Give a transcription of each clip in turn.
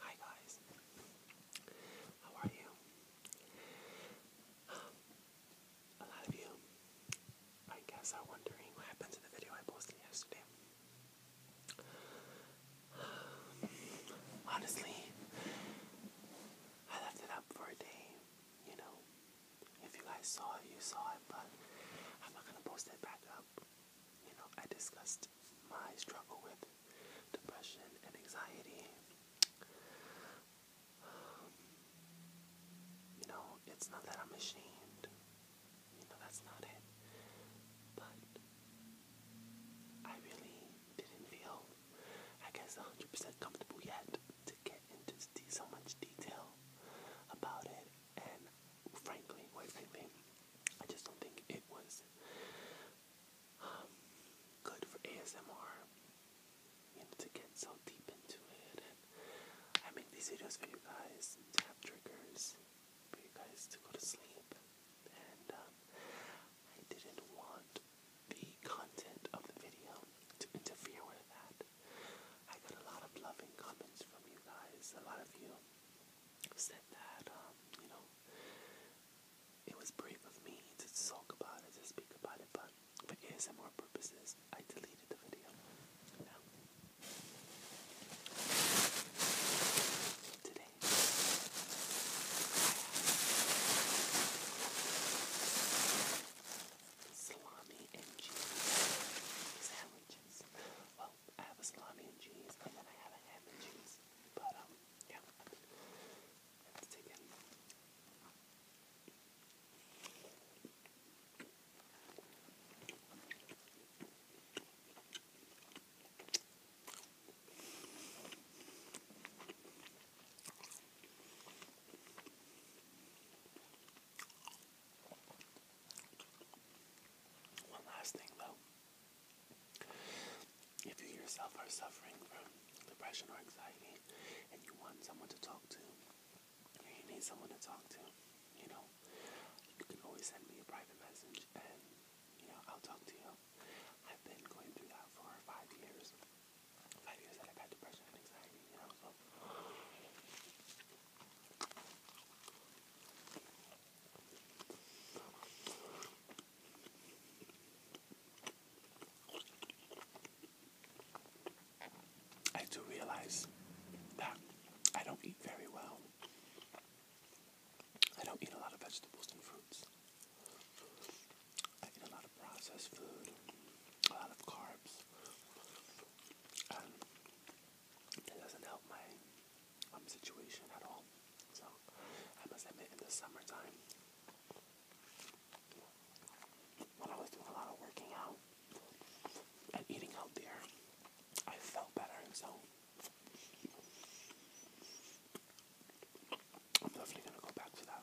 Hi guys, how are you? Um, a lot of you, I guess, are wondering what happened to the video I posted yesterday. honestly, I left it up for a day, you know. If you guys saw it, you saw it, but I'm not gonna post it back up you know, I discussed my struggle with depression and anxiety. Um, you know, it's not that I'm ashamed. You know, that's not it. But I really didn't feel, I guess, 100% comfortable yet to get into so much detail about it. And frankly, quite frankly, I just don't think it was um, good for ASMR you know, to get so deep into it. And I make these videos for you guys to have triggers for you guys to go to sleep. And um, I didn't want the content of the video to interfere with that. I got a lot of loving comments from you guys. A lot of you said that, um, you know, it was brave of me to talk about it, to speak about it, but for ASMR purposes, I deleted the video. today, salami and cheese. These well, I have a salami and cheese, and then I have a ham and cheese. But, um, yeah. One last thing though, if you yourself are suffering from depression or anxiety and you want someone to talk to, or you need someone to talk to, you know, you can always send me a private message and, you know, I'll talk to you. I've been going through that for five years. Five years that I've had depression and anxiety, you know, so. I do realize that I don't eat very well. I don't eat a lot of vegetables and fruits. I eat a lot of processed food, a lot of carbs, um, and it doesn't help my um, situation at all. So I must admit, in the summertime, when I was doing a lot of working out and eating healthier, I felt better. So I'm definitely gonna go back to that.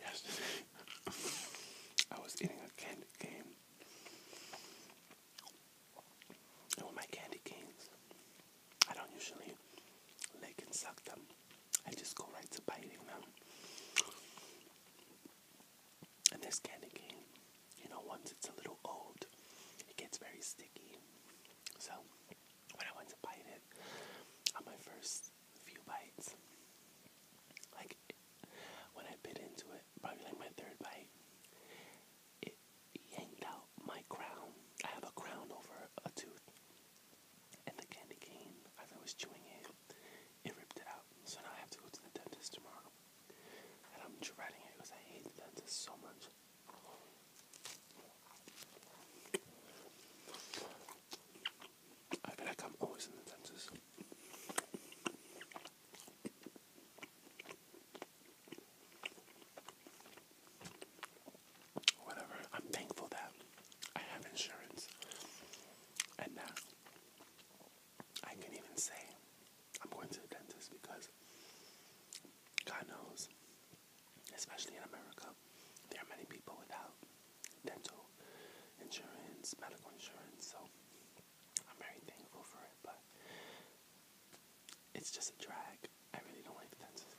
Yesterday, I was eating a candy cane. And my candy canes, I don't usually lick and suck them. I just go right to biting them. And this candy cane, you know, once it's a little old, it gets very sticky. So when I went to bite it, on my first few bites, like when I bit into it, probably like my third bite, it yanked out my crown. I have a crown over a tooth. And the candy cane, as I was chewing it, it ripped it out. So now I have to go to the dentist tomorrow. And I'm dreading it because I hate the dentist so much. I feel like I'm always in the dentist whatever. I'm thankful that I have insurance and now I can even say I'm going to the dentist because God knows, especially in America, there are many people without dental insurance, medical insurance, so I'm very thankful for it, but it's just a drag. I really don't like the dentist.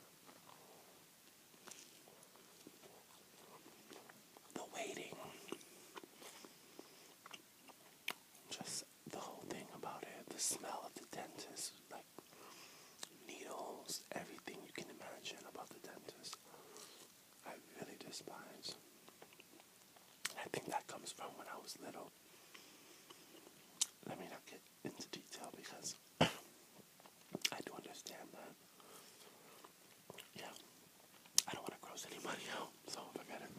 The waiting. Just the whole thing about it. The smell of the dentist. Like needles. Everything you can imagine about the dentist. I really despise. I think that comes from when I was little. Let me not get into detail because I do understand that. Yeah, I don't want to gross anybody out, so forget it.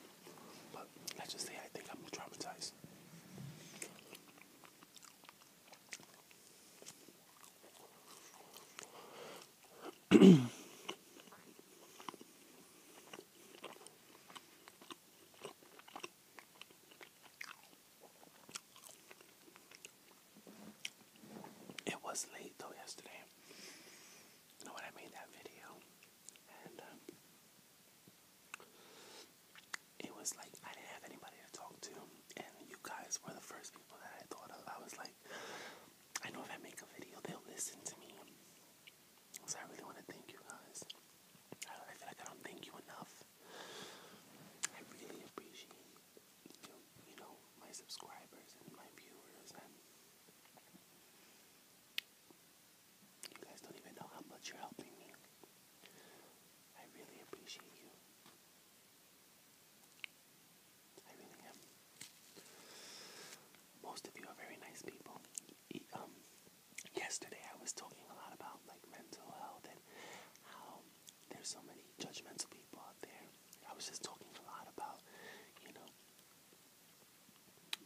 But let's just say I think I'm traumatized. It was late though yesterday. You know when I made that video, um, it was like I didn't have anybody to talk to, and you guys were the first people that I thought of. I was like, I know if I make a video, they'll listen to me. So I really want to thank you guys. I feel like I don't thank you enough. I really appreciate you, know, my subscribers and my viewers and you guys don't even know how much you're helping me. I really appreciate you. I really am. Most of you are very nice people. um, yesterday I was talking a lot about like mental health and how there's so many judgmental people out there. I was just talking a lot about, you know,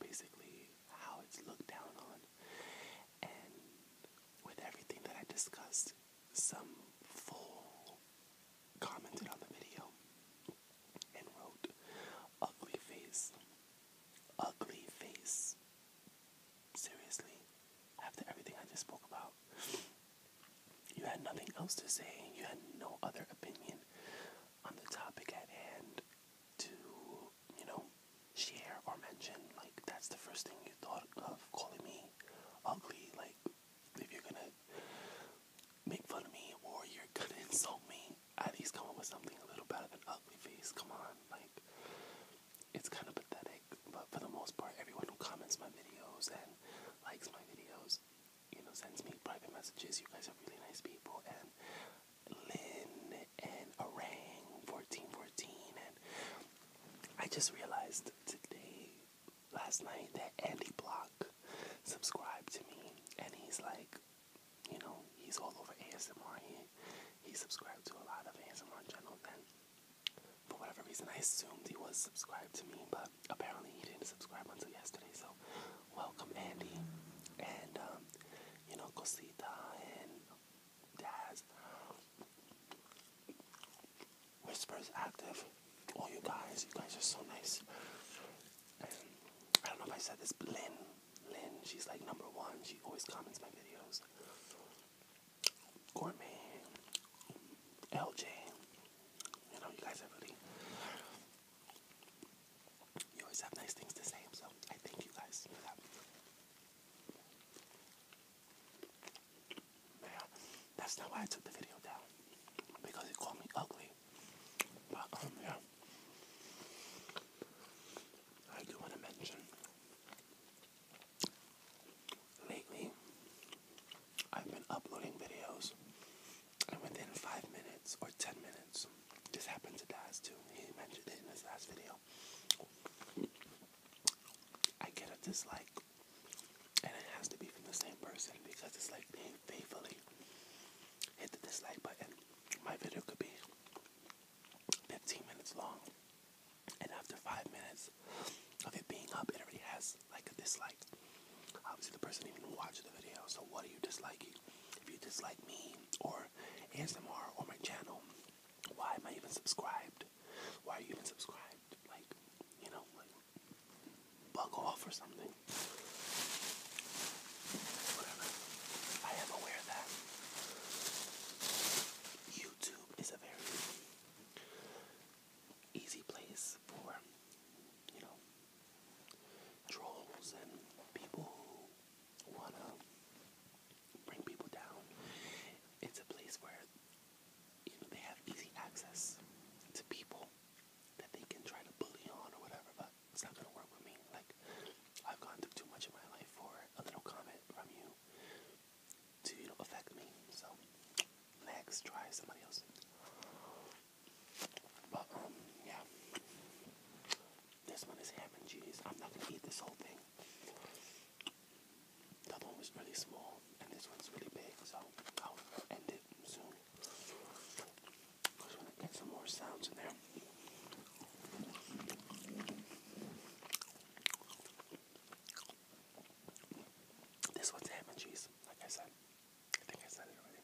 basically how it's looked down on. And with everything that I discussed, some fool commented on the video and wrote, ugly face, ugly face, seriously, after everything I just spoke about, you had nothing else to say, you had no other opinion on the topic at hand to, you know, share or mention. Like, that's the first thing you thought of calling me ugly. Like, if you're gonna make fun of me or you're gonna insult me, at least come up with something a little better than ugly face. Come on, like, it's kind of pathetic, but for the most part, everyone who comments my videos and likes my videos, you know, sends me private messages. You guys are really nice people. And Lynn and Arang 1414. And I just realized today, last night, that Andy Block subscribed to me. And he's like, you know, he's all over ASMR he subscribed to a lot of ASMR channels, Then, for whatever reason, I assumed he was subscribed to me, but apparently he didn't subscribe until yesterday. So, welcome, Andy, and um, you know, Cosita and Daz. is Active. All oh, you guys, you guys are so nice. I don't know if I said this, Lynn. Lynn, she's like number one. She always comments my videos. Gourmet, LJ, you know, you guys are really, you always have nice things to say, so I thank you guys for that. Man, uh, that's not why I took the video down, because it called me ugly. But, um, yeah. I do want to mention Lately, I've been uploading videos, and within five minutes or ten minutes, this happened to Daz too. He mentioned it in his last video. I get a dislike, and it has to be from the same person because it's like being faithfully hit the dislike button. My video could be 15 minutes long. And after five minutes of it being up, it already has like a dislike. Obviously, the person even watched the video. So, what are you disliking? If you dislike me or ASMR or my channel, why am I even subscribed? Why are you even subscribed? Like, you know, like, off or something. Whatever. I am aware that YouTube is a very easy place for, you know, trolls and people who want to bring people down. It's a place where you know, they have easy access to people that they can try to bully on or whatever, but it's not going to work with me. Like, I've gone through too much in my life for a little comment from you to you know affect me. So next, try somebody else. But um, yeah, this one is ham and cheese. I'm not gonna eat this whole thing. The one was really small, and this one's really big. So I'll end it soon. Cause gonna get some more sounds in there. This one's ham and cheese, like I said. I think I said it already.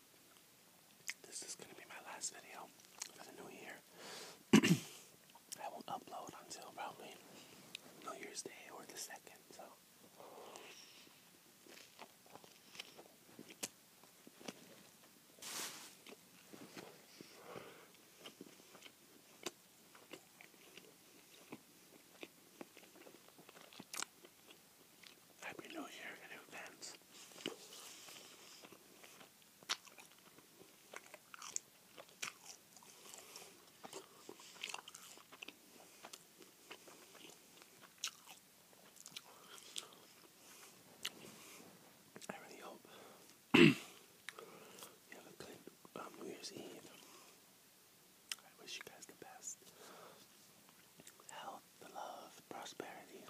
This is gonna be my last video for the new year. I won't upload until probably New Year's Day or the second, so Happy New Year in advance. I really hope you have a good um, New Year's Eve. I wish you guys the best health, love, prosperity,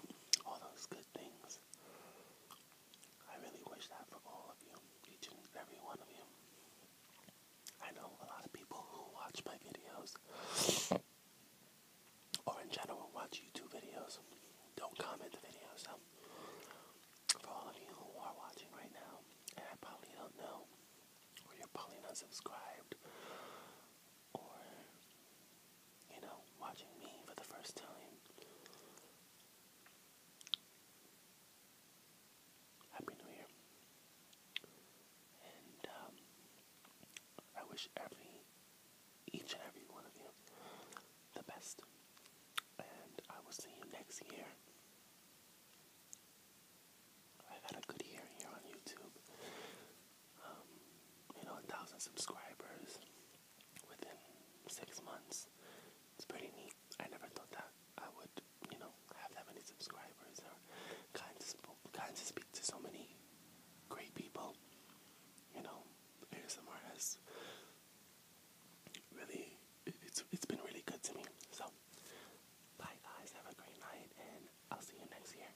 all those good things. I really wish that for all of you, each and every one of you. I know a lot of people who watch my videos, or in general watch YouTube videos, don't comment the videos. So, um, for all of you who are watching right now, and I probably don't know, or you're probably not subscribed, or you know, watching me for the first time. Happy New Year. And um, I wish every each and every one of you the best. And I will see you next year. I've had a good year here on YouTube. Um, you know, a thousand subscribers within six months. It's pretty neat. I never thought that I would, you know, have that many subscribers or kinds of kind to speak to so many great people. You know, ASMR has really, it's, it's been really good to me. So, bye guys, have a great night, and I'll see you next year.